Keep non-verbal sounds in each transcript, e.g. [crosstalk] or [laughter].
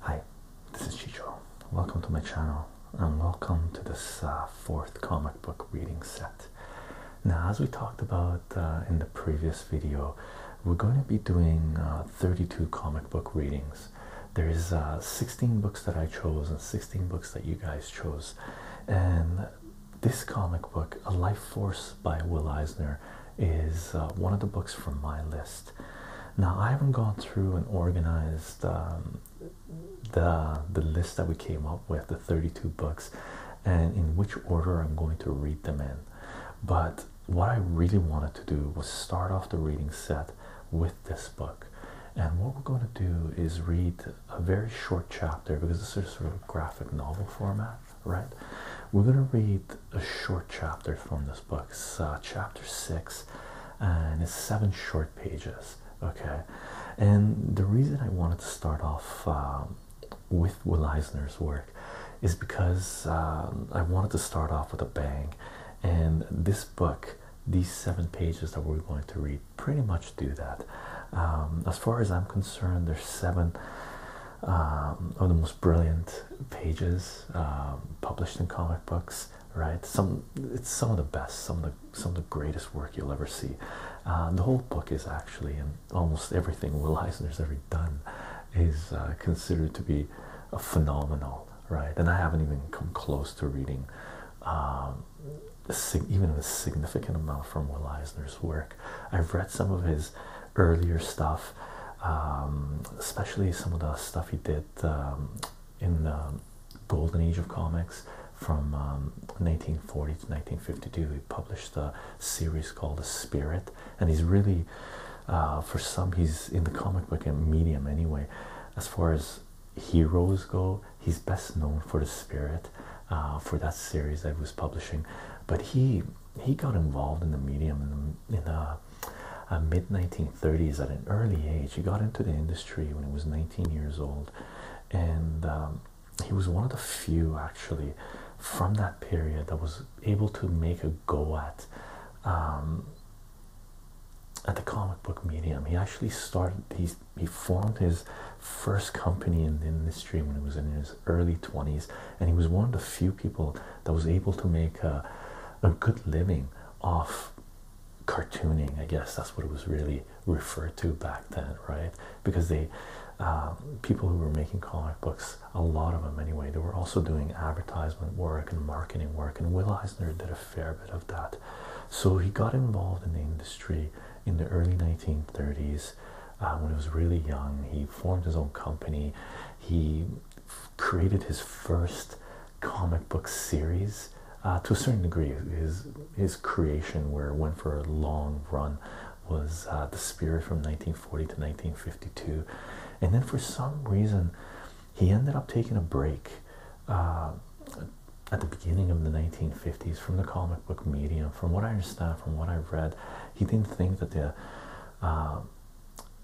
Hi, this is Chicho. Welcome to my channel and welcome to this uh, fourth comic book reading set. Now, as we talked about uh, in the previous video, we're going to be doing uh, 32 comic book readings. There's 16 books that I chose and 16 books that you guys chose. And this comic book, A Life Force by Will Eisner, is one of the books from my list. Now I haven't gone through and organized um, the the list that we came up with, the 32 books, and in which order I'm going to read them in. But what I really wanted to do was start off the reading set with this book. And what we're going to do is read a very short chapter because this is sort of graphic novel format, right? We're going to read a short chapter from this book. It's uh, chapter six, and it's seven short pages. Okay, and the reason I wanted to start off um, with Will Eisner's work is because uh, I wanted to start off with a bang, and this book, these seven pages that we're going to read, pretty much do that. Um, as far as I'm concerned, there's seven um, of the most brilliant pages um, published in comic books. Right? Some it's some of the best, some of the some of the greatest work you'll ever see. Uh, the whole book is actually, and almost everything Will Eisner's ever done, is uh, considered to be a phenomenal. Right? And I haven't even come close to reading. Um, even a significant amount from Will Eisner's work. I've read some of his earlier stuff, um, especially some of the stuff he did um, in the golden age of comics from 1940 um, to 1952. He published a series called The Spirit, and he's really, uh, for some, he's in the comic book medium anyway. As far as heroes go, he's best known for The Spirit. Uh, for that series that was publishing, but he he got involved in the medium in the uh, uh, mid 1930s at an early age. He got into the industry when he was 19 years old, and um, he was one of the few actually from that period that was able to make a go at um, at the comic book medium. He actually started. He he formed his first company in the industry when he was in his early 20s, and he was one of the few people that was able to make a good living off cartooning. I guess that's what it was really referred to back then, right? Because they, um, people who were making comic books, a lot of them anyway, they were also doing advertisement work and marketing work. And Will Eisner did a fair bit of that. So he got involved in the industry in the early 1930s uh, when he was really young. He formed his own company. He created his first comic book series uh, to a certain degree. His his creation, where it went for a long run, was uh, the Spirit from 1940 to 1952, and then for some reason, he ended up taking a break. Uh, at the beginning of the 1950s from the comic book medium from what i understand from what i've read he didn't think that the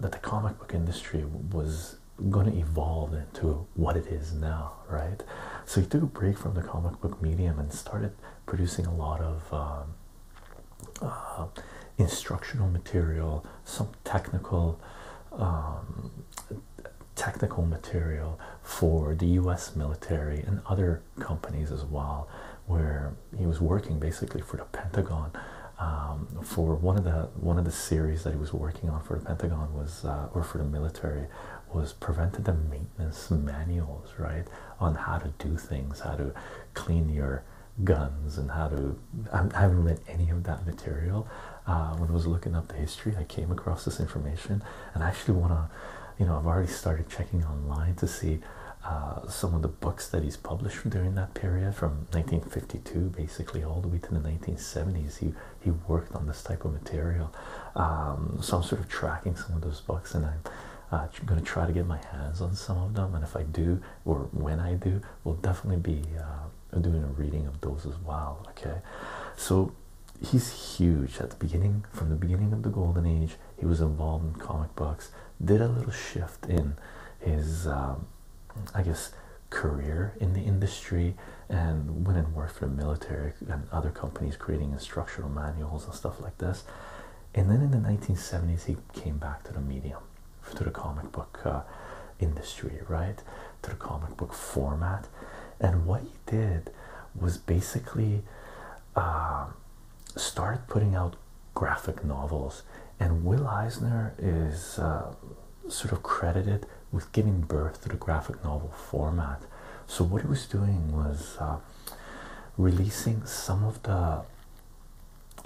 that the comic book industry was going to evolve into what it is now, right? So he took a break from the comic book medium and started producing a lot of um, uh, instructional material, some technical um, technical material for the U.S. military and other companies as well, where he was working basically for the Pentagon. Um, for one of the one of the series that he was working on for the Pentagon was, uh, or for the military, was prevented the maintenance manuals, right, on how to do things, how to clean your guns, and how to. I, haven't read any of that material. Uh, when I was looking up the history, I came across this information, and I actually want to, you know, I've already started checking online to see uh, some of the books that he's published during that period from 1952 basically all the way to the 1970s he he worked on this type of material um, so i'm sort of tracking some of those books and i'm uh, going to try to get my hands on some of them and if i do or when i do we'll definitely be uh, doing a reading of those as well okay so he's huge at the beginning from the beginning of the golden age he was involved in comic books did a little shift in his um, I guess career in the industry and went and worked for the military and other companies creating instructional manuals and stuff like this. And then in the 1970s, he came back to the medium, to the comic book uh, industry, right? To the comic book format. And what he did was basically uh, start putting out graphic novels, and Will Eisner is uh, sort of credited with giving birth to the graphic novel format. So, what he was doing was uh, releasing some of the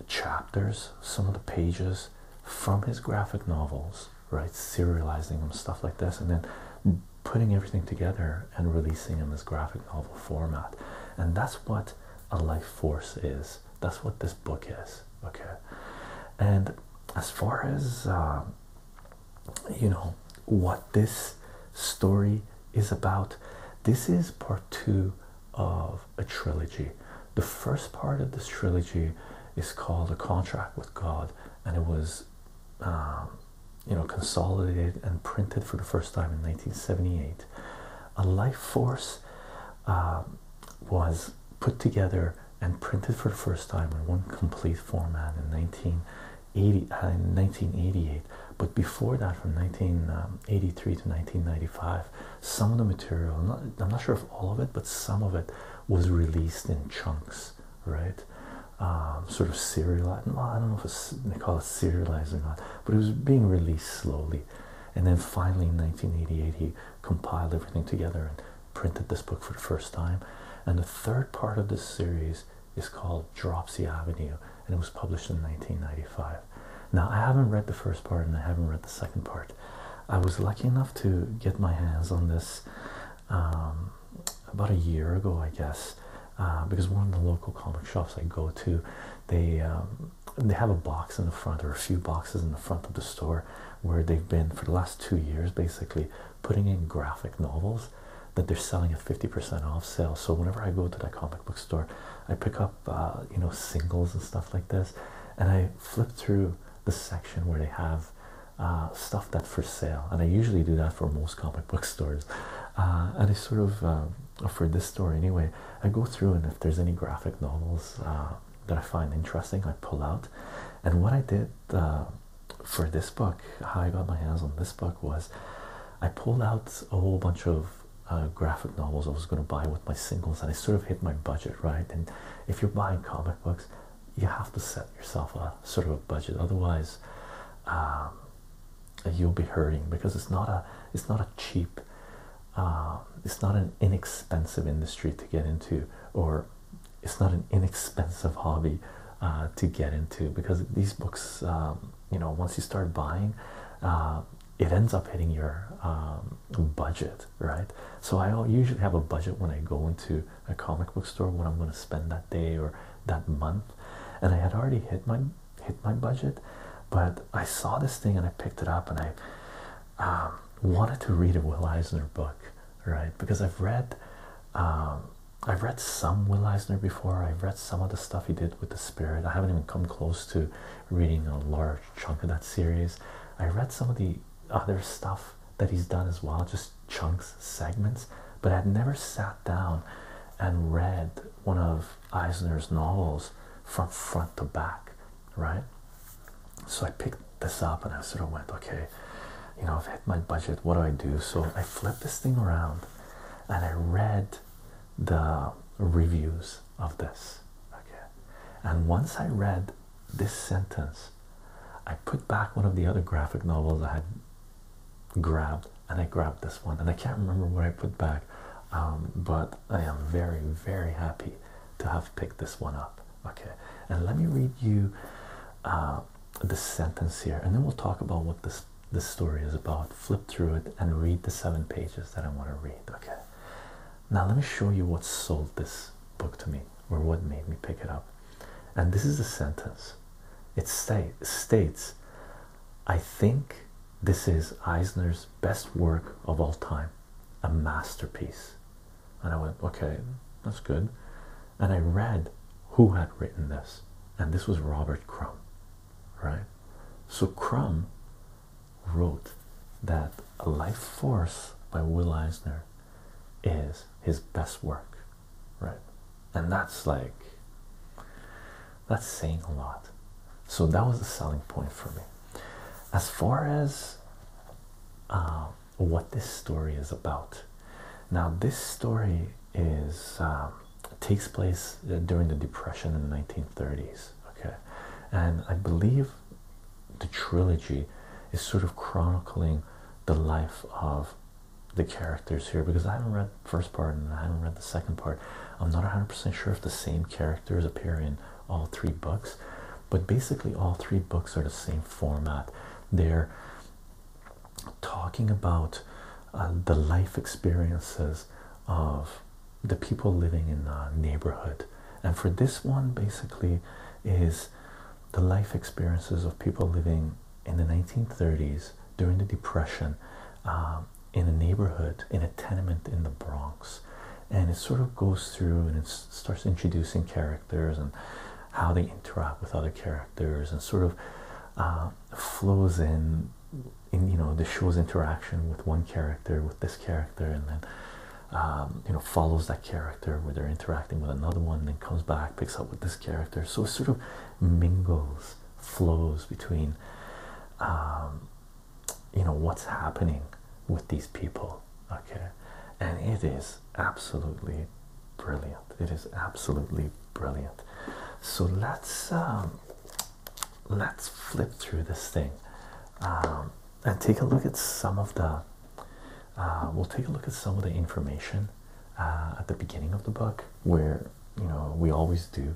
chapters, some of the pages from his graphic novels, right? Serializing them, stuff like this, and then putting everything together and releasing in this graphic novel format. And that's what a life force is that's what this book is. Okay. And as far as, um, you know, what this story is about, this is part two of a trilogy. The first part of this trilogy is called A Contract with God, and it was. Um, you know, consolidated and printed for the first time in 1978. A life force um, was put together and printed for the first time in one complete format in 1980, uh, 1988. But before that, from 1983 um, to 1995, some of the material, I'm not, sure if all of it, but some of it was released in chunks, right? Um, sort of serialized. I don't know if they call it serializing, or not, but it was being released slowly. And then finally, in 1988, he compiled everything together and printed this book for the first time. And the third part of this series is called Dropsy Avenue, and it was published in 1995. Now, I haven't read the first part and I haven't read the second part. I was lucky enough to get my hands on this um, about a year ago, I guess, uh, because one of the local comic shops I go to, they um, they have a box in the front or a few boxes in the front of the store where they've been for the last two years basically putting in graphic novels that they're selling at 50% off sale so whenever i go to that comic book store i pick up uh, you know singles and stuff like this and i flip through the section where they have uh, stuff that's for sale and i usually do that for most comic book [laughs] stores uh, and i sort of uh, for this story anyway I go through, and if there's any graphic novels uh, that I find interesting, I pull out. And what I did uh, for this book, how I got my hands on this book, was I pulled out a whole bunch of uh, graphic novels I was going to buy with my singles, and I sort of hit my budget, right? And if you're buying comic books, you have to set yourself a sort of a budget, otherwise. Um, you'll be hurting because it's not a it's not a cheap um, it's not an inexpensive industry to get into, or it's not an inexpensive hobby uh, to get into because these books, um, you know, once you start buying, uh, it ends up hitting your um, budget, right? So I usually have a budget when I go into a comic book store what I'm going to spend that day or that month, and I had already hit my hit my budget, but I saw this thing and I picked it up and I um, wanted to read a Will Eisner book, right? Because I've read, um, I've read some Will Eisner before. I've read some of the stuff he did with the Spirit. I haven't even come close to reading a large chunk of that series. I read some of the other stuff that he's done as well, just chunks, segments. But I'd never sat down and read one of Eisner's novels from front to back right? So I picked this up and I sort of went, okay, you know, I've hit my budget, what do I do? So I flipped this thing around and I read the reviews of this, okay? And once I read this sentence, I put back one of the other graphic novels I had grabbed and I grabbed this one, and I can't remember what I put back. Um, but I am very, very happy to have picked this one up. Okay, and let me read you uh, the sentence here, and then we'll talk about what this this story is about. Flip through it and read the seven pages that I want to read. Okay, now let me show you what sold this book to me, or what made me pick it up. And this is the sentence. It state, states, "I think this is Eisner's best work of all time." a masterpiece. And I went, okay, that's good. And I read who had written this, and this was Robert Crumb, right? So Crumb wrote that A Life Force by Will Eisner is his best work, right? And that's like, that's saying a lot. So that was a selling point for me. As far as uh, what this story is about, now this story is um, takes place uh, during the Depression in the 1930s. Okay, and I believe the trilogy is sort of chronicling the life of the characters here because I haven't read the first part and I haven't read the second part. I'm not 100% sure if the same characters appear in all three books but basically all three books are the same format they're talking about uh, the life experiences of the people living in a neighborhood and for this one basically is the life experiences of people living in the 1930s during the depression uh, in a neighborhood in a tenement in the Bronx and it sort of goes through and it starts introducing characters and how they interact with other characters and sort of uh, flows in in you know the show's interaction with one character with this character and then um, you know follows that character where they're interacting with another one and then comes back picks up with this character so it sort of mingles flows between um, you know what's happening with these people okay and it is absolutely brilliant it is absolutely brilliant so let's um, let's flip through this thing um, and take a look at some of the uh, we'll take a look at some of the information uh, at the beginning of the book where you know we always do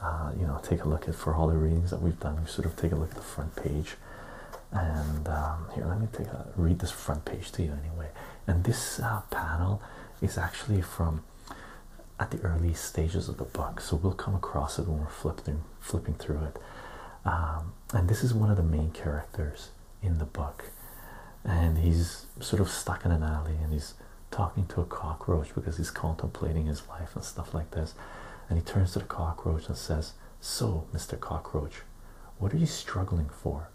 uh, you know, take a look at for all the readings that we've done. We sort of take a look at the front page, and um, here let me take a read this front page to you anyway. And this uh, panel is actually from at the early stages of the book, so we'll come across it when we're flipping flipping through it. Um, and this is one of the main characters in the book, and he's sort of stuck in an alley, and he's talking to a cockroach because he's contemplating his life and stuff like this and he turns to the cockroach and says, So, Mr. Cockroach, what are you struggling for?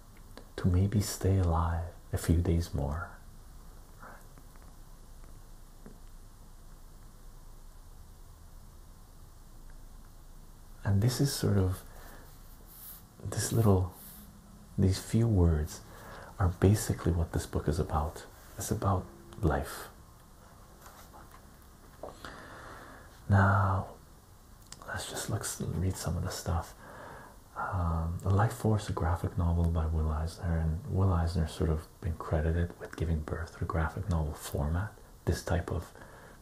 To maybe stay alive a few days more. And this is sort of this little, these few words are basically what this book is about. It's about life, now, let's just look read some of the stuff. Um, the Life Force, a graphic novel by Will Eisner, and Will Eisner sort of been credited with giving birth to graphic novel format. This type of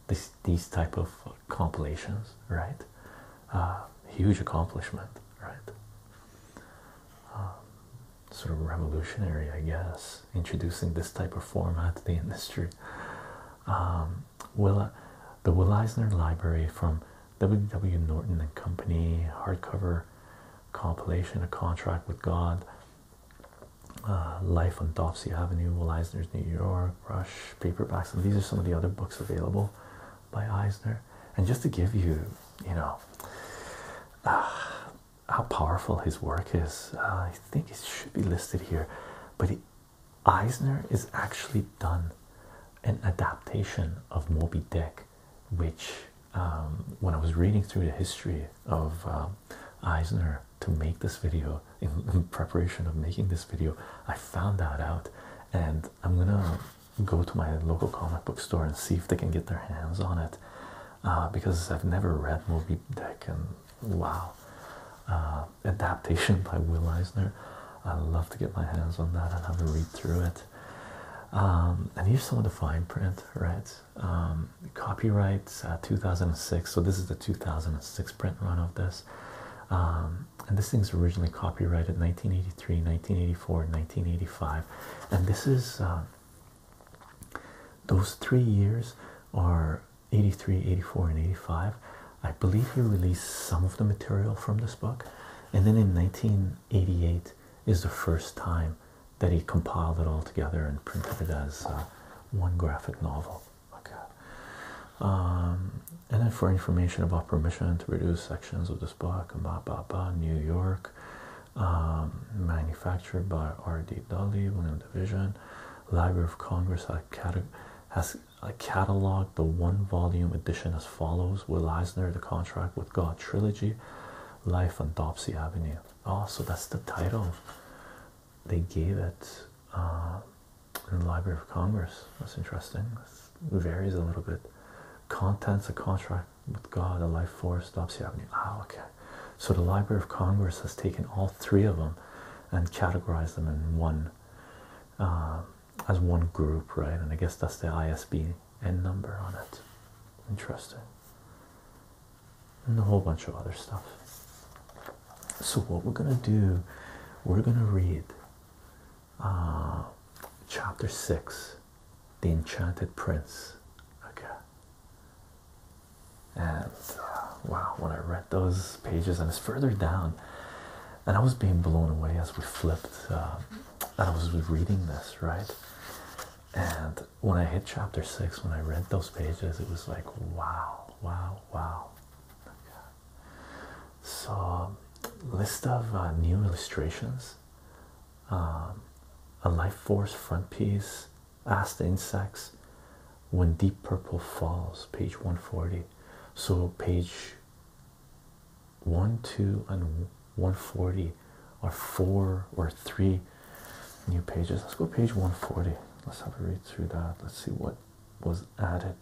this these type of compilations, right? Uh, huge accomplishment, right? Um, sort of revolutionary, I guess, introducing this type of format to the industry. Um, the Will Eisner Library from W. W. Norton and Company, hardcover compilation, A Contract with God, uh, Life on Dopsy Avenue, Will Eisner's New York, Rush, paperbacks, and these are some of the other books available by Eisner. And just to give you, you know, ah, how powerful his work is. Uh, I think it should be listed here, but Eisner is actually done an adaptation of Moby Dick, which um, when I was reading through the history of uh, Eisner to make this video [laughs] in preparation of making this video, I found that out, and I'm gonna go to my local comic book store and see if they can get their hands on it. Uh, because I've never read Movie Deck, and wow, uh, adaptation by Will Eisner. I'd love to get my hands on that and have a read through it. Um, and here's some of the fine print, right? Um, copyright uh, 2006. So this is the 2006 print run of this. Um, and this thing's originally copyrighted 1983, 1984, 1985, and this is those three years are 83, 84, and 85. I believe he released some of the material from this book, and then in 1988 is the first time that he compiled it all together and printed it as uh, one graphic novel. Okay. Um, and then for information about permission to reduce sections of this book, blah blah blah, New York, um, manufactured by R.D. Dolly, William Division. Library of Congress has cataloged the one volume edition as follows Will Eisner, The Contract with God Trilogy, Life on Dopsy Avenue. Oh, so that's the title they gave it um, in the Library of Congress. That's interesting. It varies a little bit. Contents, A Contract with God, A Life Force, Dopsy Avenue. Ah, okay. So the Library of Congress has taken all three of them and categorized them in one uh, as one group, right? And I guess that's the ISBN number on it. Interesting. And a whole bunch of other stuff. So what we're gonna do, we're gonna read uh, chapter six, The Enchanted Prince. Okay. And uh, wow, when I read those pages, and it's further down, and I was being blown away as we flipped, uh, and I was reading this, right? And when I hit chapter six, when I read those pages, it was like, wow, wow, wow. So, list of uh, new illustrations. Um, a life force front piece asked the insects when deep purple falls page 140 so page 1 2 and 140 are four or three new pages let's go page 140 let's have a read through that let's see what was added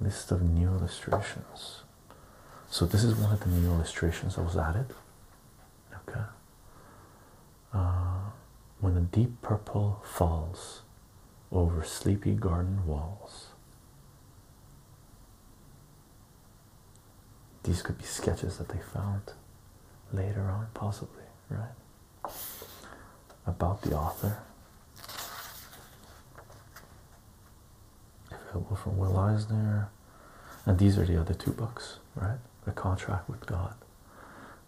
list of new illustrations so this is one of the new illustrations that was added okay uh, when the deep purple falls over sleepy garden walls these could be sketches that they found later on possibly right about the author available from will eisner and these are the other two books right a contract with God,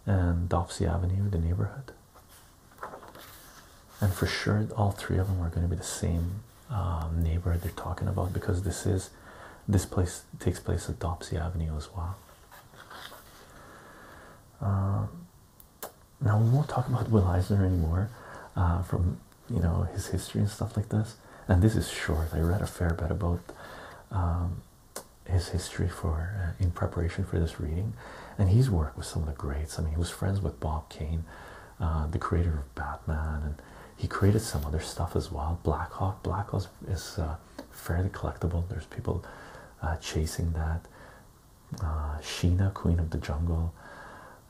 and Dopsy Avenue, the neighborhood. And for sure, all three of them are going to be the same um, neighborhood they're talking about because this is this place takes place at Dopsy Avenue as well. Um, now we won't talk about Will Eisner anymore uh, from you know his history and stuff like this and this is short i read a fair bit about um, his history for uh, in preparation for this reading and he's worked with some of the greats i mean he was friends with bob kane uh, the creator of batman and he created some other stuff as well black hawk black hawk is uh, fairly collectible there's people chasing that sheena queen of the jungle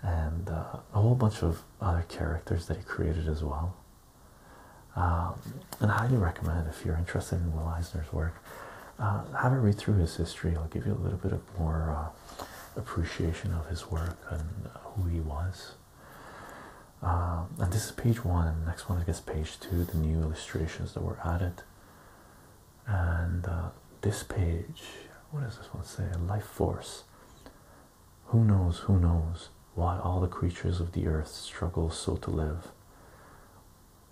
and a whole bunch of other characters that he created as well um, and I highly recommend if you're interested in Will Eisner's work, uh, have a read through his history. I'll give you a little bit of more uh, appreciation of his work and who he was. Um, and this is page one. Next one, I guess, page two. The new illustrations that were added, and uh, this page. What does this one say? Life force. Who knows, who knows why all the creatures of the earth struggle so to live?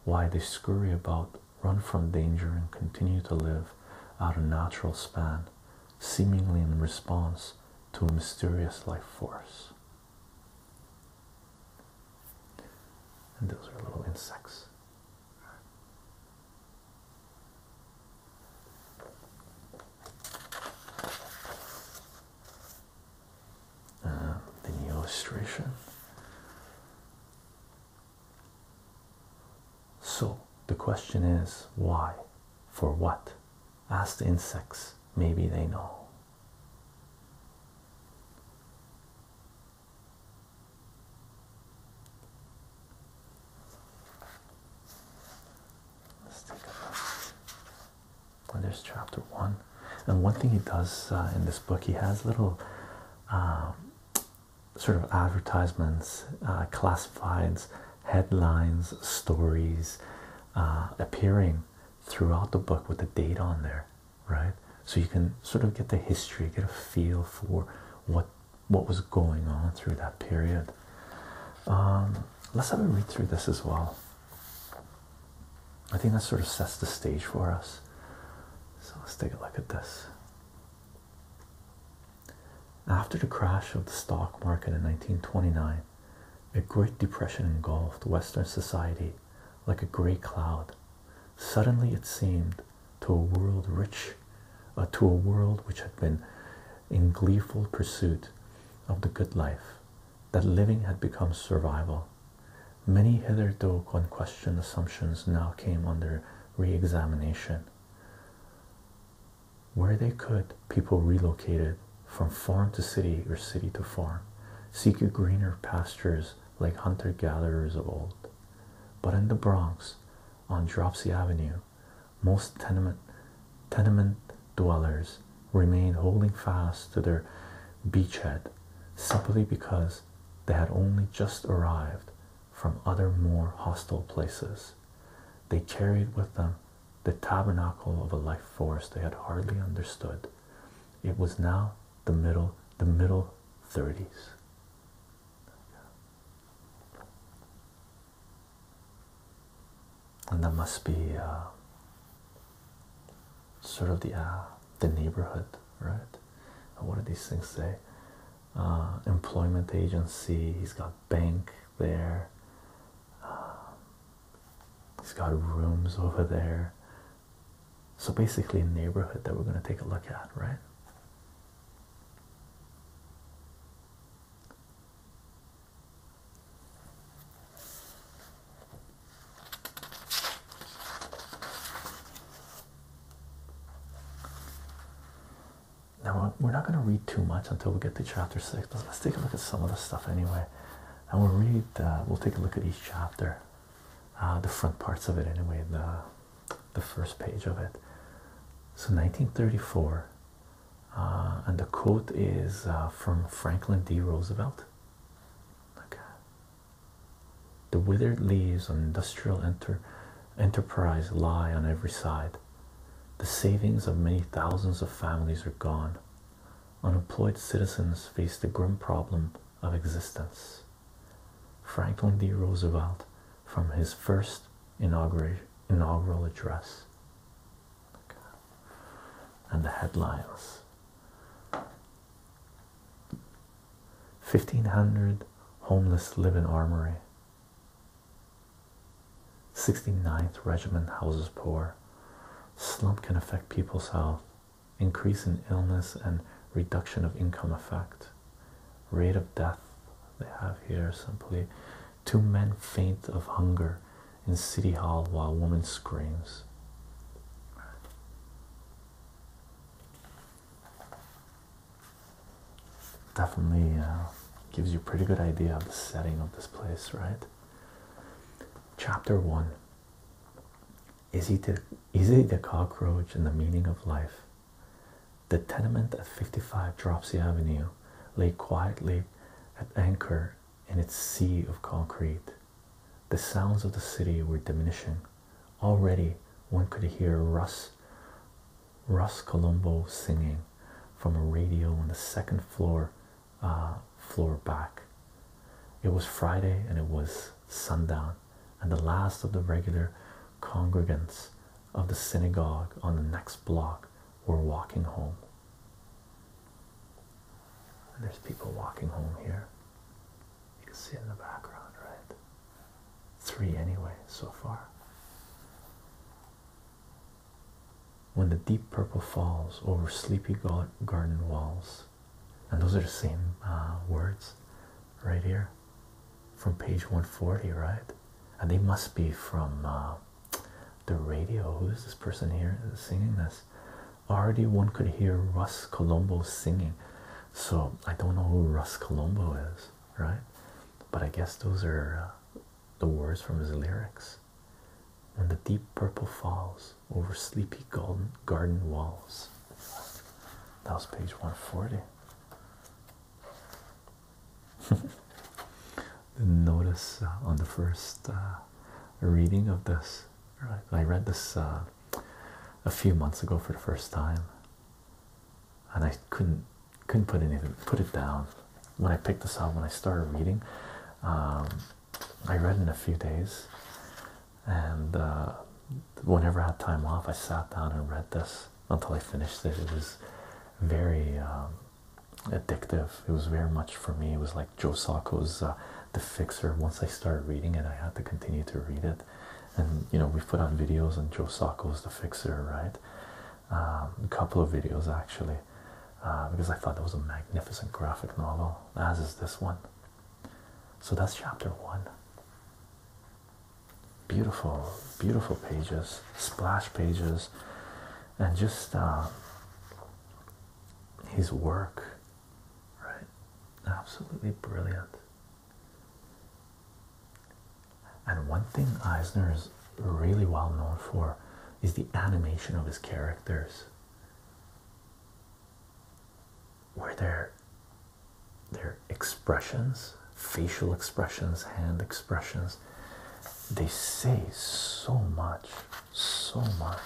Why they scurry about, run from danger, and continue to live out a natural span, seemingly in response to a mysterious life force. And those are little insects uh, the illustration. So the question is why? For what? Ask the insects. Maybe they know. Let's take a look there's chapter one and one thing he does uh, in this book he has little uh, sort of advertisements uh, classifieds headlines stories appearing throughout the book with the date on there right so you can sort of get the history get a feel for what what was going on through that period um, let's have a read through this as well I think that sort of sets the stage for us. So let's take a look at this. After the crash of the stock market in 1929, a Great Depression engulfed Western society like a grey cloud. Suddenly, it seemed to a world rich, uh, to a world which had been in gleeful pursuit of the good life, that living had become survival. Many hitherto unquestioned assumptions now came under re examination. Where they could, people relocated from farm to city or city to farm, seeking greener pastures like hunter gatherers of old. But in the Bronx, on Dropsy Avenue, most tenement tenement dwellers remained holding fast to their beachhead simply because they had only just arrived from other more hostile places. They carried with them the tabernacle of a life force they had hardly understood. It was now the middle, the middle 30s and that must be uh, sort of the uh, the neighborhood, right? what do these things say? Uh, employment agency. He's got bank there. he's got rooms over there. So basically, a neighborhood that we're going to take a look at, right? Now we're not going to read too much until we get to chapter six, but let's take a look at some of the stuff anyway, and we'll read. Uh, we'll take a look at each chapter, uh, the front parts of it anyway, the the first page of it. So 1934 uh, and the quote is uh, from Franklin D. Roosevelt. Okay. The withered leaves of industrial enter enterprise lie on every side. The savings of many thousands of families are gone. Unemployed citizens face the grim problem of existence. Franklin D. Roosevelt from his first inaugural inaugural address and the headlines 1500 homeless live in armory 69th regiment houses poor slump can affect people's health increase in illness and reduction of income effect rate of death they have here simply Two men faint of hunger in City Hall while a woman screams. Definitely uh, gives you a pretty good idea of the setting of this place, right? Chapter 1 Is it the, is he the cockroach and the meaning of life? The tenement at 55 Dropsy Avenue lay quietly at anchor in its sea of concrete. The sounds of the city were diminishing. Already one could hear Russ, Russ Colombo singing from a radio on the second floor, uh, floor back. It was Friday and it was sundown, and the last of the regular congregants of the synagogue on the next block were walking home there's people walking home here. You can see it in the background, right? Three anyway, so far. When the deep purple falls over sleepy garden walls, and those are the same uh, words right here from page 140, right? And they must be from uh, the radio. Who is this person here singing this? Already one could hear Russ Colombo singing. So I don't know who Russ Colombo is, right? But I guess those are uh, the words from his lyrics. When the deep purple falls over sleepy golden garden walls. That was page 140. [laughs] notice uh, on the first uh, reading of this. I read this uh, a few months ago for the first time, and I couldn't couldn't put anything put it down. When I picked this up, when I started reading, um, I read in a few days, and whenever I had time off, I sat down and read this until I finished it. It was very um, addictive. It was very much for me. It was like Joe Sacco's uh, The Fixer. Once I started reading it, I had to continue to read it. And you know, we put on videos on Joe Sacco's The Fixer, right? Um, a couple of videos actually, uh, because I thought it was a magnificent graphic novel, as is this one. So that's chapter one. Beautiful, beautiful pages, splash pages, and just uh, his work, right? Absolutely brilliant. And one thing Eisner is really well known for is the animation of his characters. Where their their expressions, facial expressions, hand expressions, they say so much, so much.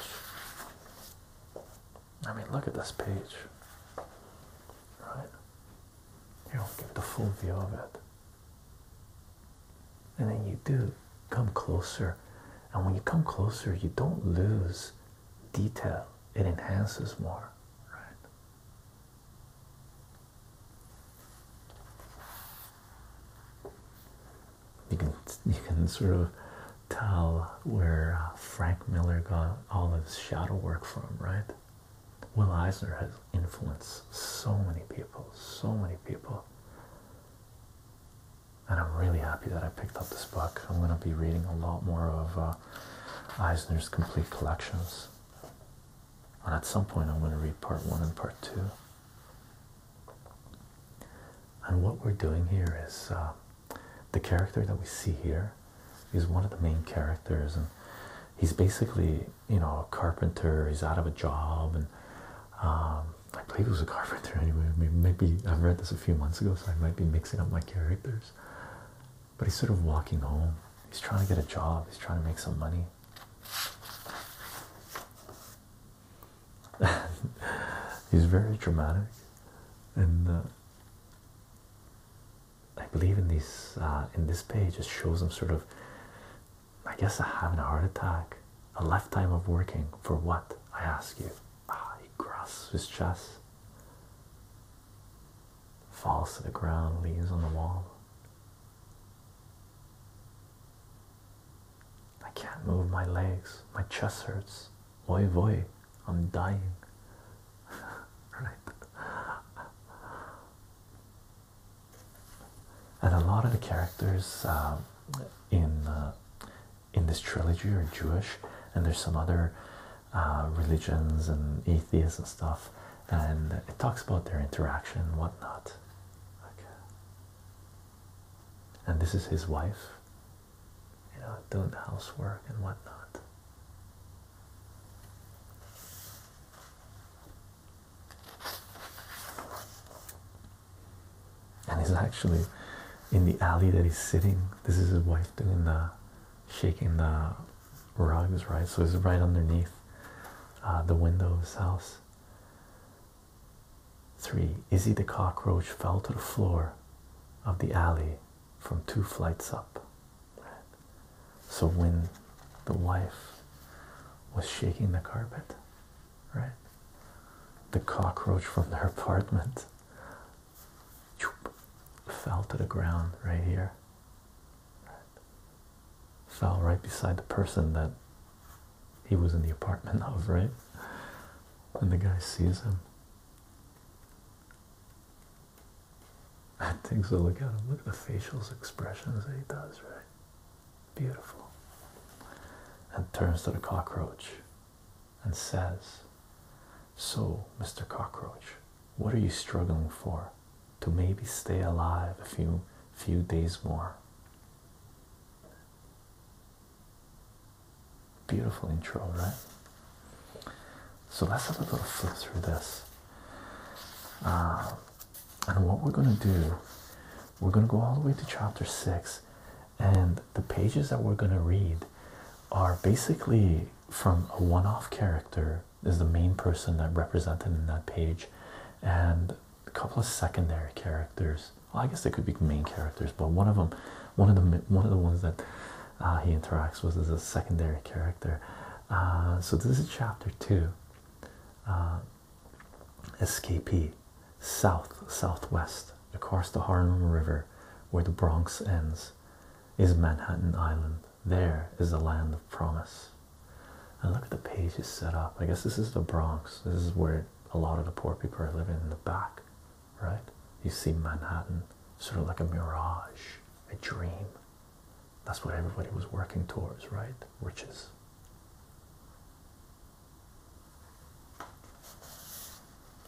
I mean, look at this page, right? You don't get the full view of it. And then you do come closer, and when you come closer, you don't lose detail, it enhances more, right? you can you can sort of tell where uh, Frank Miller got all his shadow work from, right? Will Eisner has influenced so many people, so many people. And I'm really happy that I picked up this book. I'm going to be reading a lot more of uh, Eisner's complete collections. And at some point, I'm going to read part one and part two. And what we're doing here is uh, the character that we see here is one of the main characters, and he's basically, you know, a carpenter. He's out of a job, and um, I believe he was a carpenter anyway. Maybe i read this a few months ago, so I might be mixing up my characters. But he's sort of walking home. He's trying to get a job. He's trying to make some money. [laughs] he's very dramatic, and uh, I believe in these uh, in this page it shows him sort of, I guess, having a heart attack, a lifetime of working for what I ask you. Ah, he grasps his chest, falls to the ground, leans on the wall. I can't move my legs, my chest hurts. Oi, voy, I'm dying. [laughs] right. And a lot of the characters um, in uh, in this trilogy are Jewish, and there's some other uh, religions and atheists and stuff, and it talks about their interaction and whatnot. Okay and this is his wife you know doing the housework and whatnot and he's actually in the alley that he's sitting this is his wife doing the shaking the rugs right so it's right underneath uh, the window of his house Three, Izzy the cockroach fell to the floor of the alley from two flights up. So when the wife was shaking the carpet, right? The cockroach from her [laughs] apartment fell to the ground right here. Fell right beside the person that he was in the apartment [laughs] of, right? And the guy sees him. I think so. Look at him. Look at the facial expressions that he does, right? Beautiful. And turns to the cockroach and says, So, Mr. Cockroach, what are you struggling for? To maybe stay alive a few few days more. Beautiful intro, right? So let's have a little flip through this. Uh, and what we're going to do, we're going to go all the way to chapter 6, and the pages that we're going to read are basically from a one off character, is the main person that represented in that page, and a couple of secondary characters. I guess they could be main characters, but one of them, one of the one of the ones that uh, he interacts with is a secondary character. Uh, so this is chapter two. Uh, escapee, south southwest across the Harlem River, where the Bronx ends, is Manhattan Island. There is the land of promise. And look at the page is set up. I guess this is the Bronx. This is where a lot of the poor people are living in the back, right? You see Manhattan sort of like a mirage, a dream. That's what everybody was working towards, right? Riches.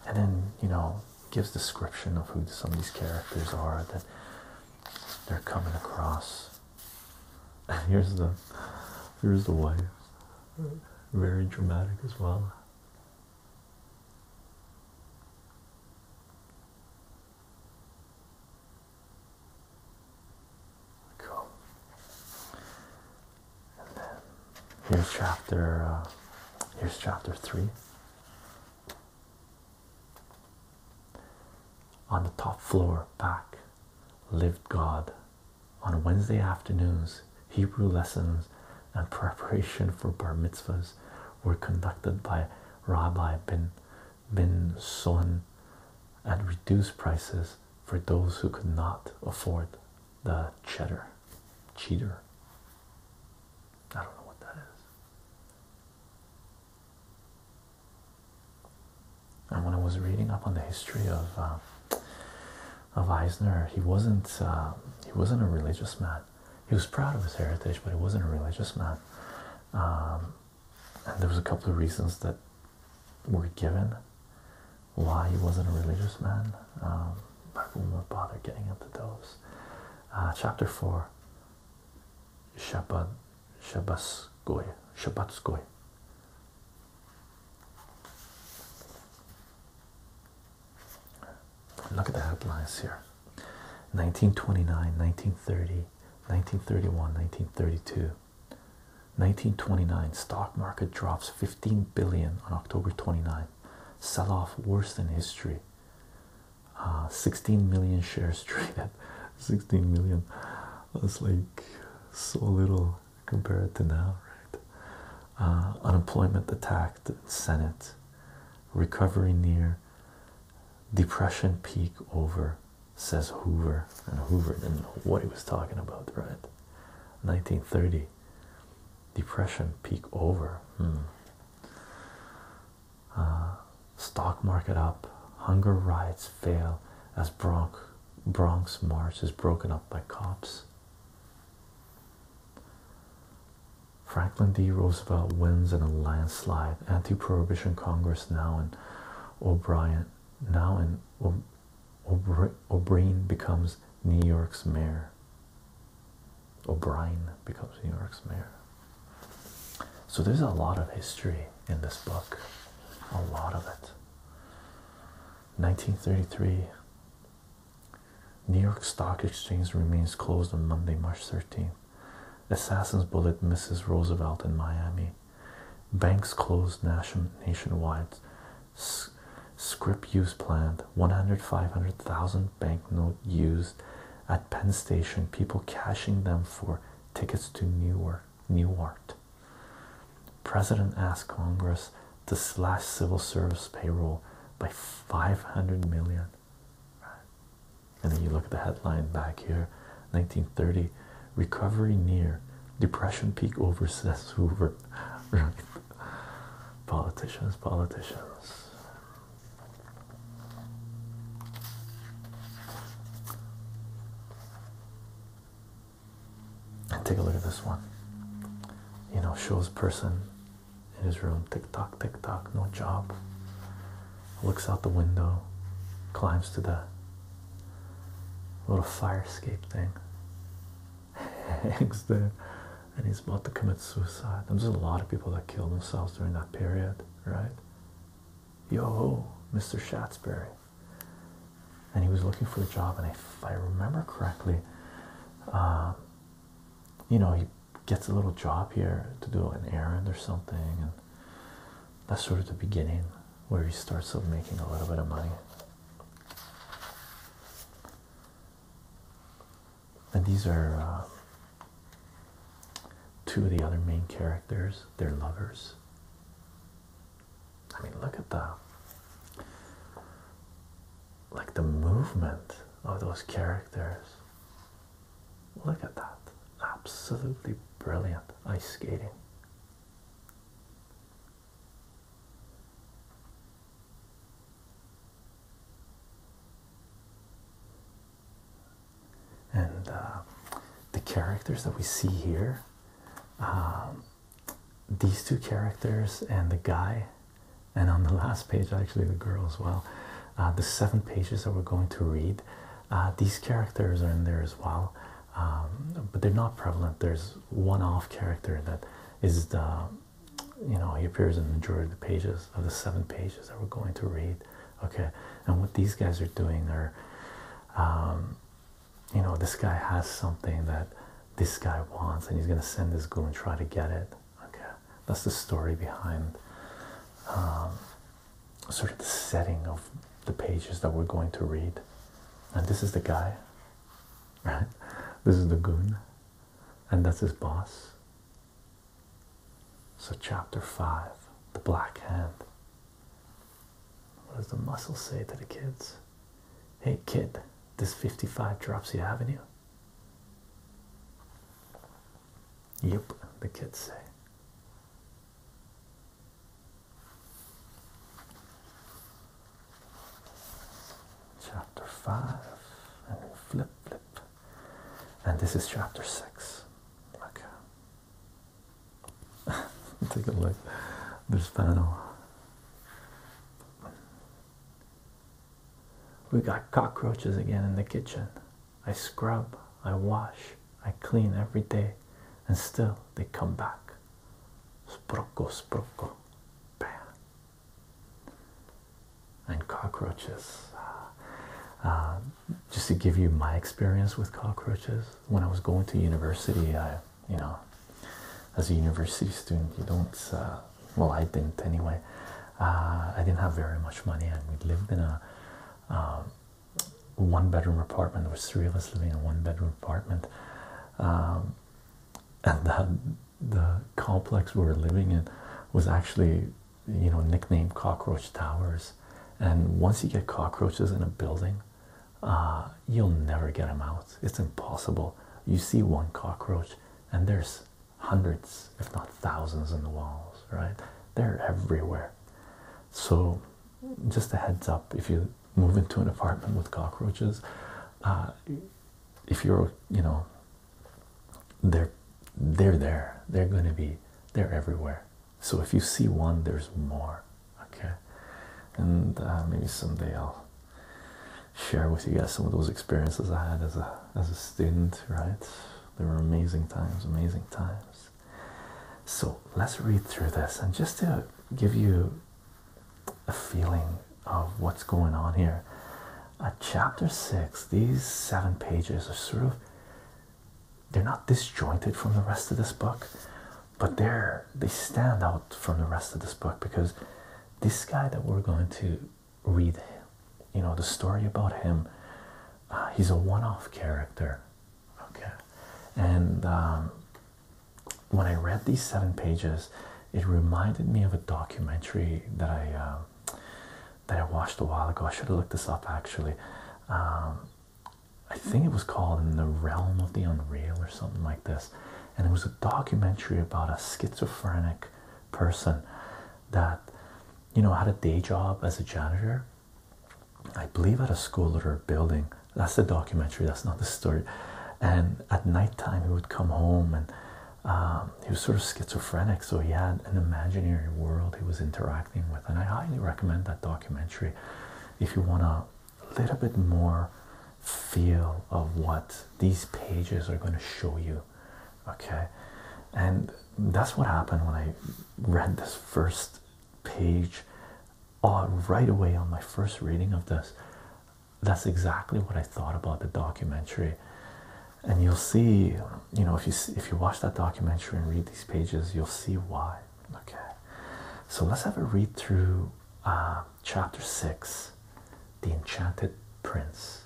And then, you know, gives description of who some of these characters are that they're coming across. [laughs] here's the here's the wife very dramatic as well. Cool. And then here's chapter. Uh, here's chapter three. On the top floor, back lived God on Wednesday afternoons, Hebrew lessons and preparation for bar mitzvahs were conducted by Rabbi Ben Bin Son at reduced prices for those who could not afford the cheddar. Cheater. I don't know what that is and when I was reading up on the history of um, of Eisner, he wasn't uh, he wasn't a religious man. He was proud of his heritage, but he wasn't a religious man. Um, and there was a couple of reasons that were given why he wasn't a religious man. Um, I won't bother getting into those. Uh, chapter four. Shabbat, Shabbatskoy, Shabbatskoy, Look at the headlines here 1929, 1930, 1931, 1932. 1929 stock market drops 15 billion on October 29. Sell off worse than history. Uh, 16 million shares [laughs] traded. 16 million. That's like so little. Compare it to now, right? Uh, unemployment attacked Senate, recovery near, depression peak over, says Hoover. And Hoover didn't know what he was talking about, right? 1930, depression peak over. Hmm. Uh, stock market up, hunger riots fail as Bronx Bronx March is broken up by cops. Franklin D. Roosevelt wins in a landslide. Anti-prohibition Congress now and O'Brien now and O'Brien becomes New York's mayor. O'Brien becomes New York's mayor. So there's a lot of history in this book, a lot of it. 1933 New York Stock Exchange remains closed on Monday, March 13th. Assassin's bullet misses Roosevelt in Miami. Banks closed nation nationwide. scrip use planned. 100, 500,000 banknote used at Penn Station. People cashing them for tickets to New York new art. President asked Congress to slash civil service payroll by 500 million. And then you look at the headline back here 1930 recovery near depression peak over Seth Hoover. Politicians, politicians. And take a look at this one. You know, shows person in his room, tick tock, tick tock, no job. Looks out the window, climbs to the little fire escape thing, [laughs] hangs there, and he's about to commit suicide. There's a lot of people that killed themselves during that period, right? Yo, Mr. Shatsbury and he was looking for a job and if i remember correctly uh, you know he gets a little job here to do an errand or something and that's sort of the beginning where he starts making a little bit of money and these are uh, two of the other main characters, their lovers. I mean, look at the like the movement of those characters. Look at that. Absolutely brilliant ice skating. And uh, the characters that we see here um, these two characters and the guy, and on the last page, actually, the girl as well. Uh, the seven pages that we're going to read, uh, these characters are in there as well, um, but they're not prevalent. There's one off character that is the you know, he appears in the majority of the pages of the seven pages that we're going to read. Okay, and what these guys are doing are um, you know this guy has something that this guy wants and he's gonna send this goon and try to get it okay that's the story behind um, sort of the setting of the pages that we're going to read and this is the guy [laughs] right this is the goon and that's his boss so chapter 5 the black hand what does the muscle say to the kids? Hey kid, this 55 drops you haven't you? Yep, the kids say. Chapter 5, and flip, flip. And this is chapter 6. Okay. Take a look. This panel. We got cockroaches again in the kitchen. I scrub, I wash, I clean every day, and still they come back. Sprocco, sprocco. Bam. And cockroaches. Uh, uh, just to give you my experience with cockroaches, when I was going to university, I you know as a university student you don't uh, well i didn't anyway uh, i didn't have very much money and we lived in a um, one bedroom apartment there was three of us living in a one bedroom apartment um, and that the complex we were living in was actually you know nicknamed cockroach towers and once you get cockroaches in a building uh, you'll never get them out. It's impossible. You see one cockroach, and there's hundreds, if not thousands, in the walls, right? They're everywhere. So, just a heads up if you move into an apartment with cockroaches, uh, if you're, you know, they're they're there. They're going to be they're everywhere. So if you see one, there's more okay and uh, maybe someday i'll share with you guys some of those experiences i had as a as a student right there were amazing times amazing times so let's read through this and just to give you a feeling of what's going on here at chapter six these seven pages are sort of they're not disjointed from the rest of this book but they they stand out from the rest of this book because this guy that we're going to read, you know, the story about him, uh, he's a one-off character, okay, and um, when I read these seven pages, it reminded me of a documentary that I. Um, that I watched a while ago. I should have looked this up actually. Um, I think it was called In the Realm of the Unreal or something like this. And it was a documentary about a schizophrenic person that, you know, had a day job as a janitor, I believe, at a school or a building. That's the documentary, that's not the story. And at night time, he would come home and um, he was sort of schizophrenic, so he had an imaginary world he was interacting with. And I highly recommend that documentary if you want to a little bit more feel of what these pages are going to show you okay and that's what happened when i read this first page on uh, right away on my first reading of this that's exactly what i thought about the documentary and you'll see you know if you if you watch that documentary and read these pages you'll see why okay so let's have a read through uh, chapter 6 The Enchanted Prince.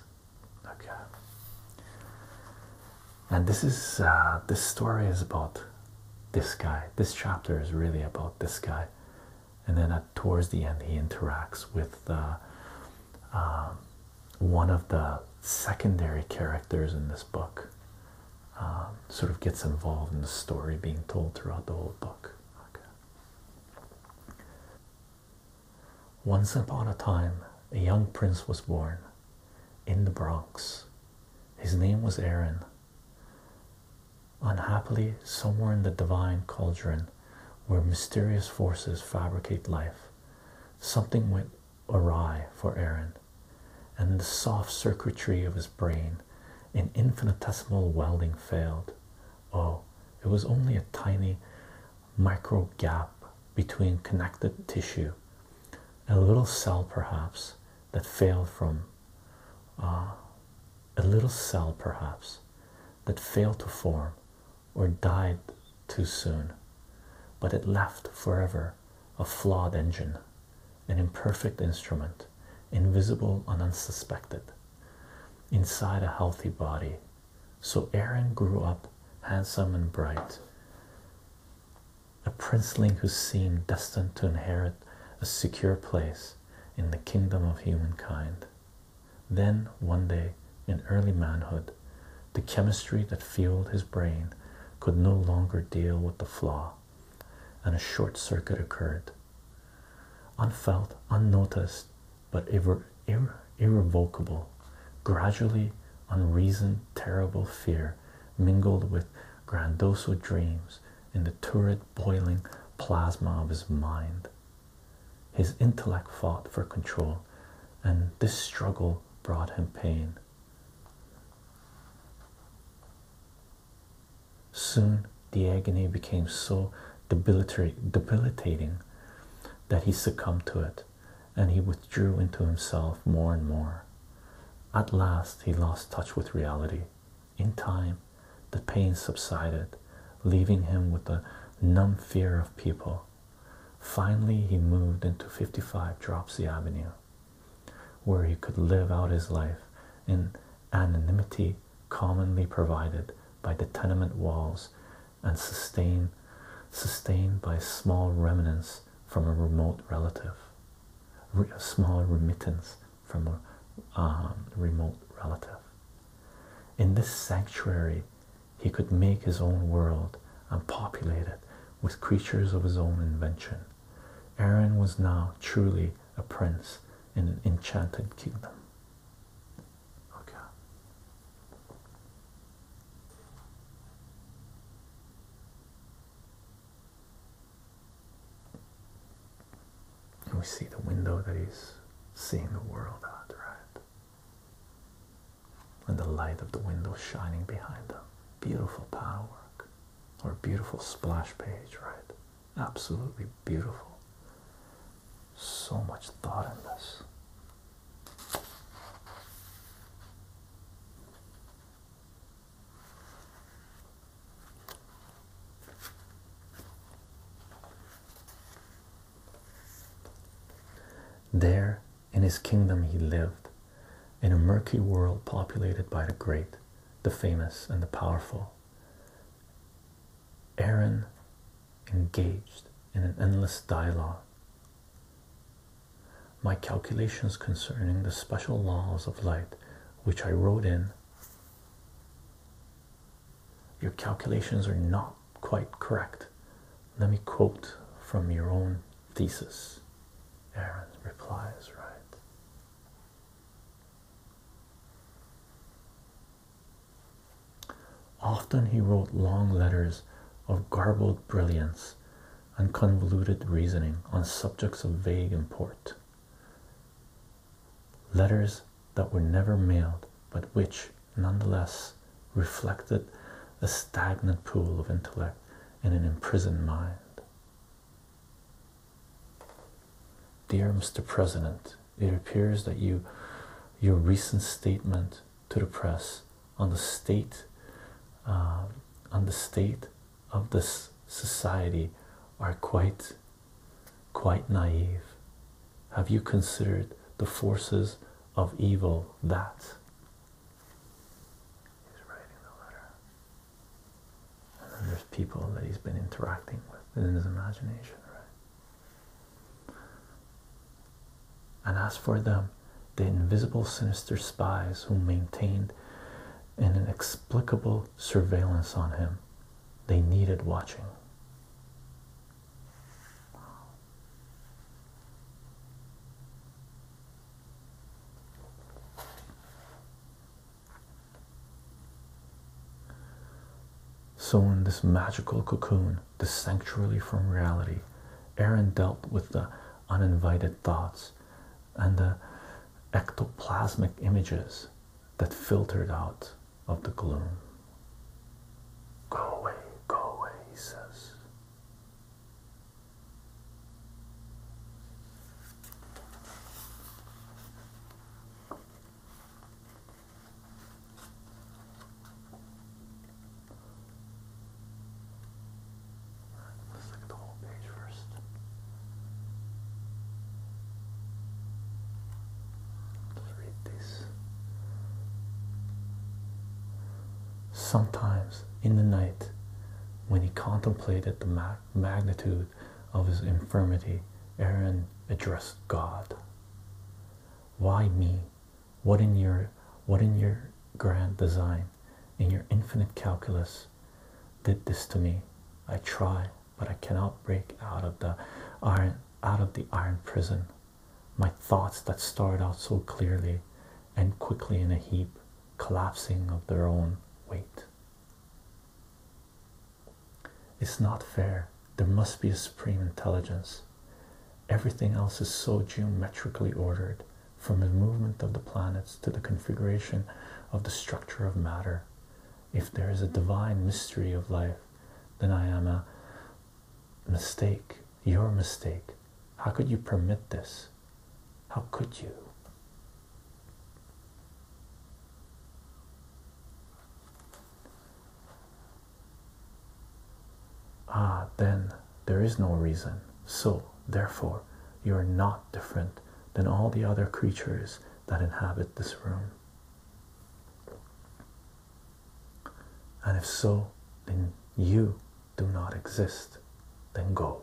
Okay. And this is uh, this story is about this guy. This chapter is really about this guy. And then towards the end, he interacts with um, one of the secondary characters in this book. Um, sort of gets involved in the story being told throughout the whole book. Once upon a time, a young prince was born in the Bronx. His name was Aaron. Unhappily, somewhere in the divine cauldron where mysterious forces fabricate life, something went awry for Aaron, and the soft circuitry of his brain in infinitesimal welding failed. Oh, it was only a tiny micro gap between connected tissue, a little cell perhaps that failed from uh, a little cell perhaps that failed to form or died too soon, but it left forever a flawed engine, an imperfect instrument, invisible and unsuspected, inside a healthy body. So Aaron grew up handsome and bright, a princeling who seemed destined to inherit a secure place in the kingdom of humankind. Then, one day, in early manhood, the chemistry that fueled his brain could no longer deal with the flaw and a short circuit occurred. Unfelt, unnoticed, but irrevocable, gradually unreasoned, terrible fear mingled with grandiose dreams in the torrid, boiling plasma of his mind. His intellect fought for control, and this struggle brought him pain. Soon the agony became so debilitating that he succumbed to it, and he withdrew into himself more and more. At last, he lost touch with reality. In time, the pain subsided, leaving him with a numb fear of people. Finally, he moved into 55 Dropsy Avenue, where he could live out his life in anonymity commonly provided by the tenement walls and sustained sustained by small remnants from a remote relative a small remittance from a um, remote relative in this sanctuary he could make his own world and populate it with creatures of his own invention aaron was now truly a prince in an enchanted kingdom. Okay. And we see the window that he's seeing the world at, right? And the light of the window shining behind them. Beautiful panel work. Or beautiful splash page, right? Absolutely beautiful. So much thought in this. There, in his kingdom, he lived, in a murky world populated by the great, the famous, and the powerful. Aaron engaged in an endless dialogue. My calculations concerning the special laws of light, which I wrote in. Your calculations are not quite correct. Let me quote from your own thesis. Aaron replies, right? Often he wrote long letters of garbled brilliance and convoluted reasoning on subjects of vague import. Letters that were never mailed, but which nonetheless reflected a stagnant pool of intellect in an imprisoned mind. Dear Mr. President, it appears that you your recent statement to the press on the state uh, on the state of this society are quite quite naive. Have you considered the forces of evil that there's people that he's been interacting with in his imagination, right? And as for them, the invisible sinister spies who maintained an inexplicable surveillance on him, they needed watching. So, in this magical cocoon, this sanctuary from reality, Aaron dealt with the uninvited thoughts and the ectoplasmic images that filtered out of the gloom. Go away, go away, he says. Let's look at the whole page first. Let's read this. Sometimes in the night, when he contemplated the map magnitude of his infirmity, Aaron addressed God. Why me? What in your what in your grand design, in your infinite calculus, did this to me? I try, but I cannot break out of the iron out of the iron prison. My thoughts that start out so clearly and quickly in a heap, collapsing of their own weight. It's not fair. There must be a supreme intelligence. Everything else is so geometrically ordered, from the movement of the planets to the configuration of the structure of matter. If there is a divine mystery of life, then I am a mistake, your mistake. How could you permit this? How could you? Ah, then there is no reason. So, therefore, you are not different than all the other creatures that inhabit this room. And if so, then you do not exist. Then go.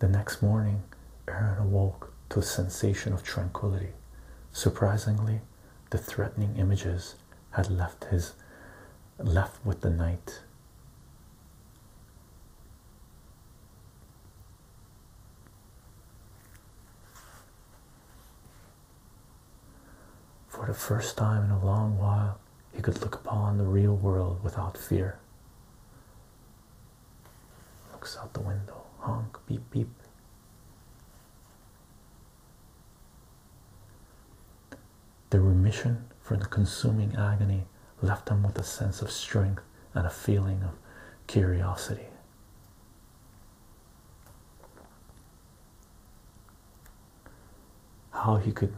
The next morning, Aaron awoke to a sensation of tranquility. Surprisingly, the threatening images had left his left with the night. For the first time in a long while, he could look upon the real world without fear. Looks out the window, honk, beep, beep. The remission from the consuming agony left him with a sense of strength and a feeling of curiosity. How he could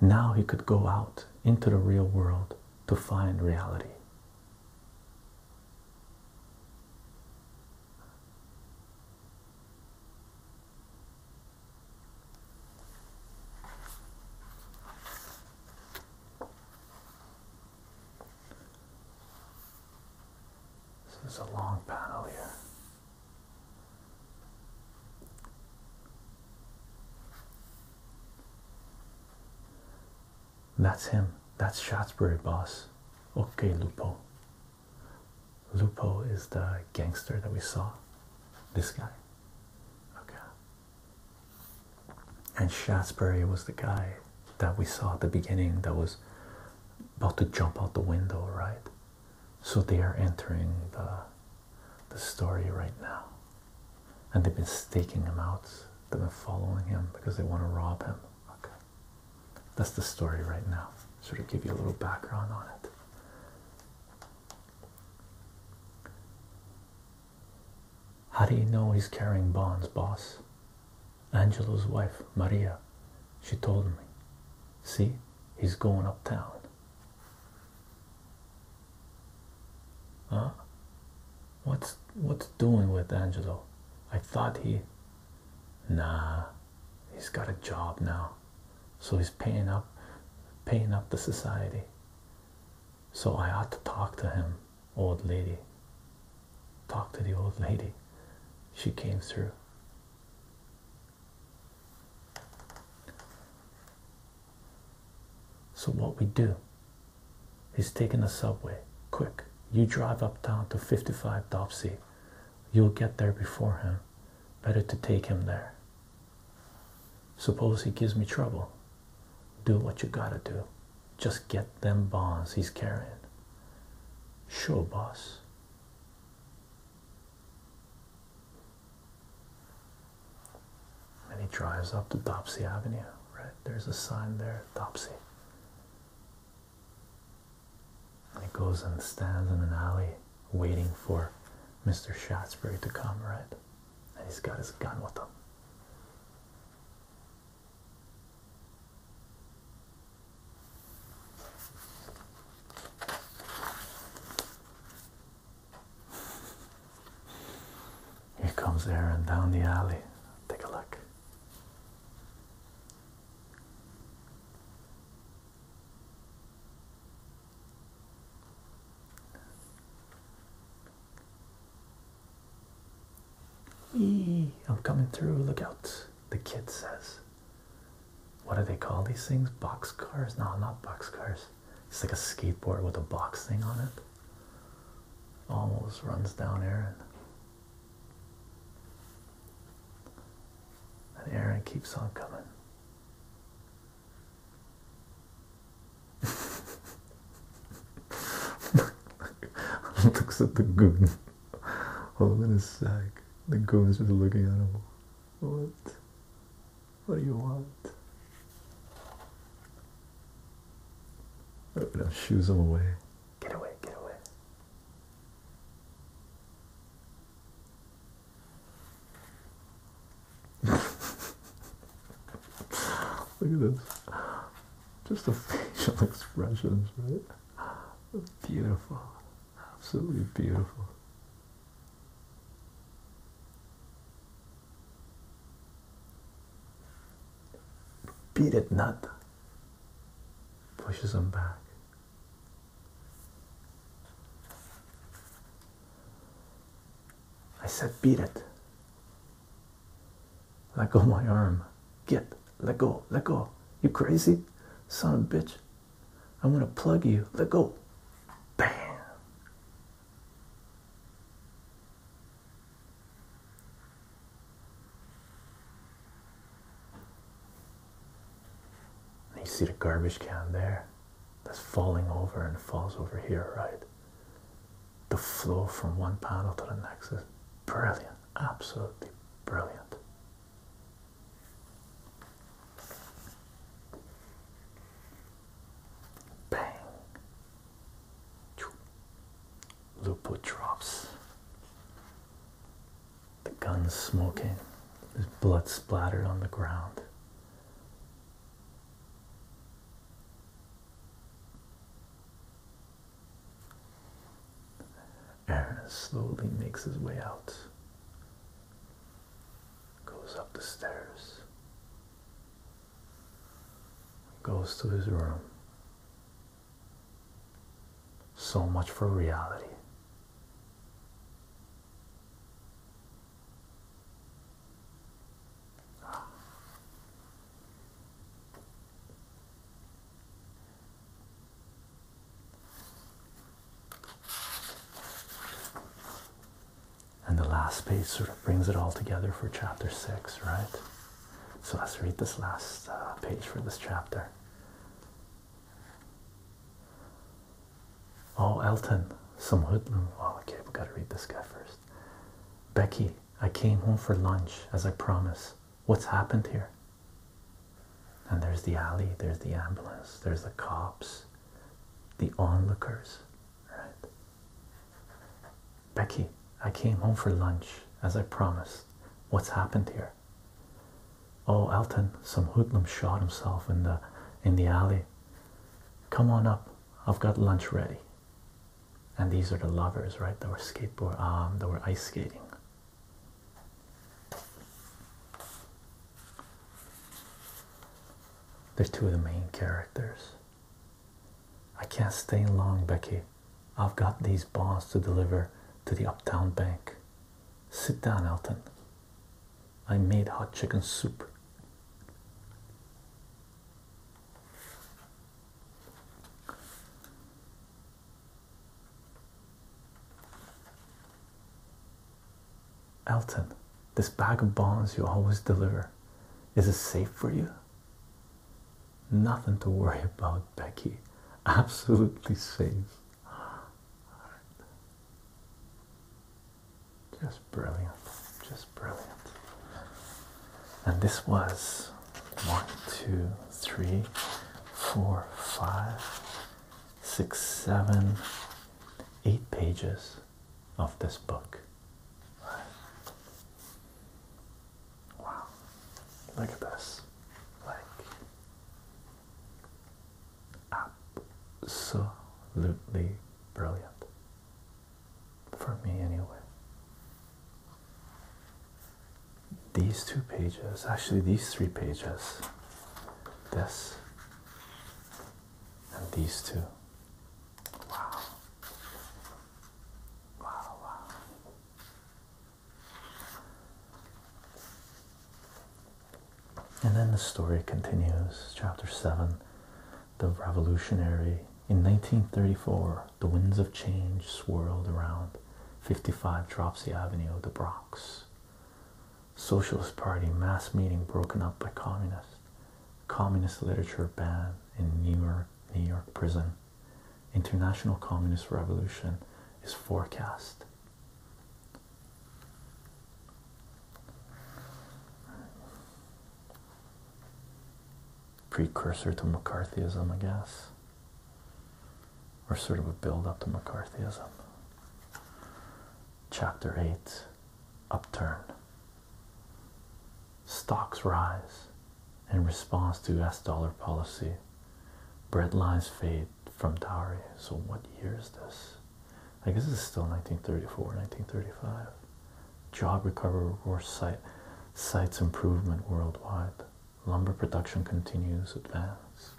now he could go out into the real world to find reality. This is a long panel here. That's him. That's Shaftesbury boss. Okay, Lupo. Lupo is the gangster that we saw. This guy. Okay. And Shaftesbury was the guy that we saw at the beginning that was about to jump out the window, right? So they are entering the the story right now. And they've been staking him out. They've been following him because they want to rob him. Okay. That's the story right now. Sort of give you a little background on it. How do you know he's carrying bonds, boss? Angelo's wife, Maria, she told me. See, he's going uptown. Huh? What's what's doing with Angelo? I thought he Nah he's got a job now. So he's paying up paying up the society. So I ought to talk to him, old lady. Talk to the old lady. She came through. So, what we do is taking the subway. Quick, you drive uptown to 55 Darcy. You'll get there before him. Better to take him there. Suppose he gives me trouble. Do what you gotta do. Just get them bonds he's carrying. Sure, boss. And he drives up to Dopsy Avenue, right? There's a sign there, Dopsy. And he goes and stands in an alley waiting for Mr. Shatsbury to come, right? And he's got his gun with him. Here comes Aaron down the alley. Take a look. Eee, I'm coming through. Look out. The kid says. What do they call these things? Box cars? No, not box cars. It's like a skateboard with a box thing on it. Almost runs down Aaron. And Aaron keeps on coming. [laughs] Looks at the goon. Holding his sack. The goon's just looking at him. What? What do you want? Oh am gonna shoes him away. Get away, get away. [laughs] Look at this. Just the facial [laughs] expressions, right? Beautiful. Absolutely beautiful. Beat it, Nada. Pushes him back. I said, beat it. Let go my arm. Get. Let go. Let go. You crazy? Son of a bitch. I'm going to plug you. Let go. Bam you see the garbage can there that's falling over and falls over here, right? The flow from one panel to the next is brilliant, absolutely brilliant. Bang. Lupo drops. The gun's smoking. There's blood splattered on the ground. Aaron slowly makes his way out. Goes up the stairs. Goes to his room. So much for reality. And the last page sort of brings it all together for chapter six, right? So let's read this last uh, page for this chapter. Oh, Elton, some hoodlum. Oh, okay, we gotta read this guy first. Becky, I came home for lunch as I promised. What's happened here? And there's the alley, there's the ambulance, there's the cops the onlookers. Right. Becky, I came home for lunch as I promised. What's happened here? Oh, Elton, some hoodlum shot himself in the in the alley. Come on up. I've got lunch ready. And these are the lovers, right? That were skateboard um that were ice skating. There's two of the main characters. I can't stay long, Becky. I've got these bonds to deliver to the Uptown Bank. Sit down, Elton. I made hot chicken soup. Elton, this bag of bonds you always deliver, is it safe for you? Nothing to worry [laughs] about, Becky. Absolutely safe. Just brilliant. Just brilliant. And this was one, two, three, four, five, six, seven, eight pages of this book. Wow. Look at this. Like absolutely brilliant. For me anyway. These two pages, actually these three pages, this and these two Wow. Wow, wow. And then the story continues. Chapter 7 The Revolutionary. In 1934, the winds of change swirled around 55 Dropsy Avenue, of the Bronx. Socialist Party mass meeting broken up by communists. Communist literature ban in New York, New York prison. International Communist Revolution is forecast. Precursor to McCarthyism, I guess, or sort of a build up to McCarthyism. Chapter 8 Upturn Stocks rise in response to US dollar policy. Bread lines fade from dowry. So, what year is this? I guess it's still 1934, 1935. Job recovery or site sites improvement worldwide. Lumber production continues advance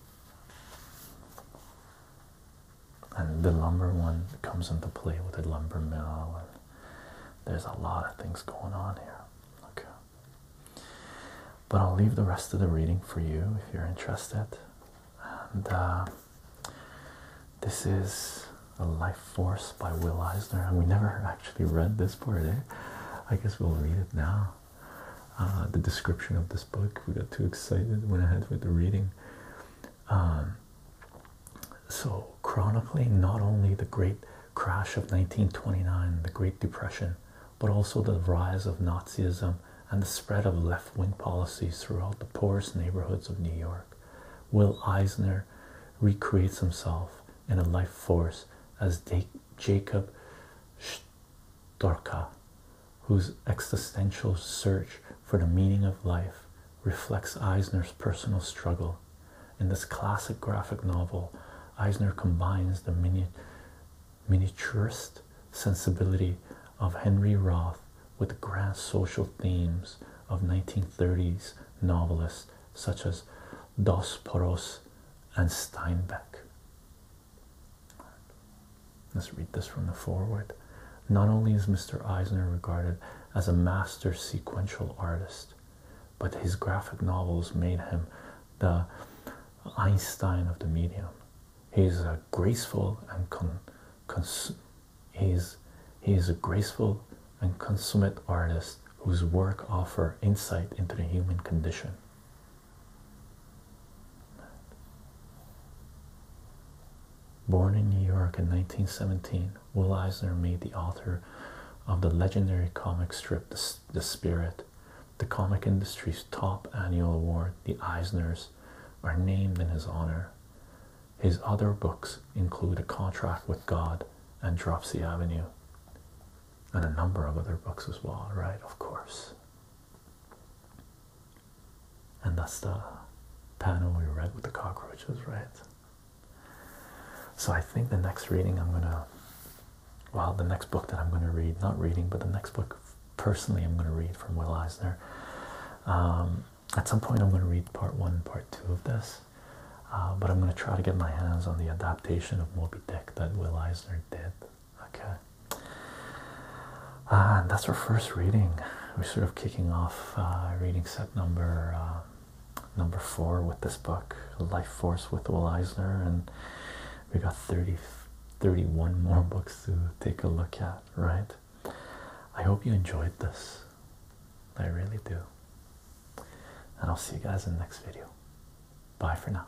and the lumber one comes into play with the lumber mill and there's a lot of things going on here okay but i'll leave the rest of the reading for you if you're interested and uh, this is a life force by will eisner and we never actually read this book. Eh? i guess we'll read it now uh, the description of this book we got too excited went ahead with the reading um, so chronically, not only the great crash of 1929, the Great Depression, but also the rise of Nazism and the spread of left wing policies throughout the poorest neighborhoods of New York. Will Eisner recreates himself in a life force as Jacob Storka, whose existential search for the meaning of life reflects Eisner's personal struggle. In this classic graphic novel, Eisner combines the miniaturist sensibility of Henry Roth with the grand social themes of 1930s novelists such as Dos Poros and Steinbeck. Let's read this from the foreword. Not only is Mr. Eisner regarded as a master sequential artist, but his graphic novels made him the Einstein of the medium. He's a graceful and con, cons, he's he is a graceful and consummate artist whose work offer insight into the human condition. Born in New York in 1917, Will Eisner made the author of the legendary comic strip The, Spirit. The comic industry's top annual award, the Eisners, are named in his honor. His other books include A Contract with God and Dropsy Avenue, and a number of other books as well, right? Of course and that's the panel we read with the cockroaches, right? So I think the next reading I'm gonna, well, the next book that I'm gonna read, not reading, but the next book personally I'm gonna read from Will Eisner. Um, at some point I'm gonna read part one part two of this, uh, but I'm gonna try to get my hands on the adaptation of Moby Dick that Will Eisner did. Okay, uh, and that's our first reading we're sort of kicking off uh, reading set number uh, number four with this book, Life Force with Will Eisner, and we got 30, 31 more books to take a look at, right? I hope you enjoyed this. I really do. And I'll see you guys in the next video. Bye for now.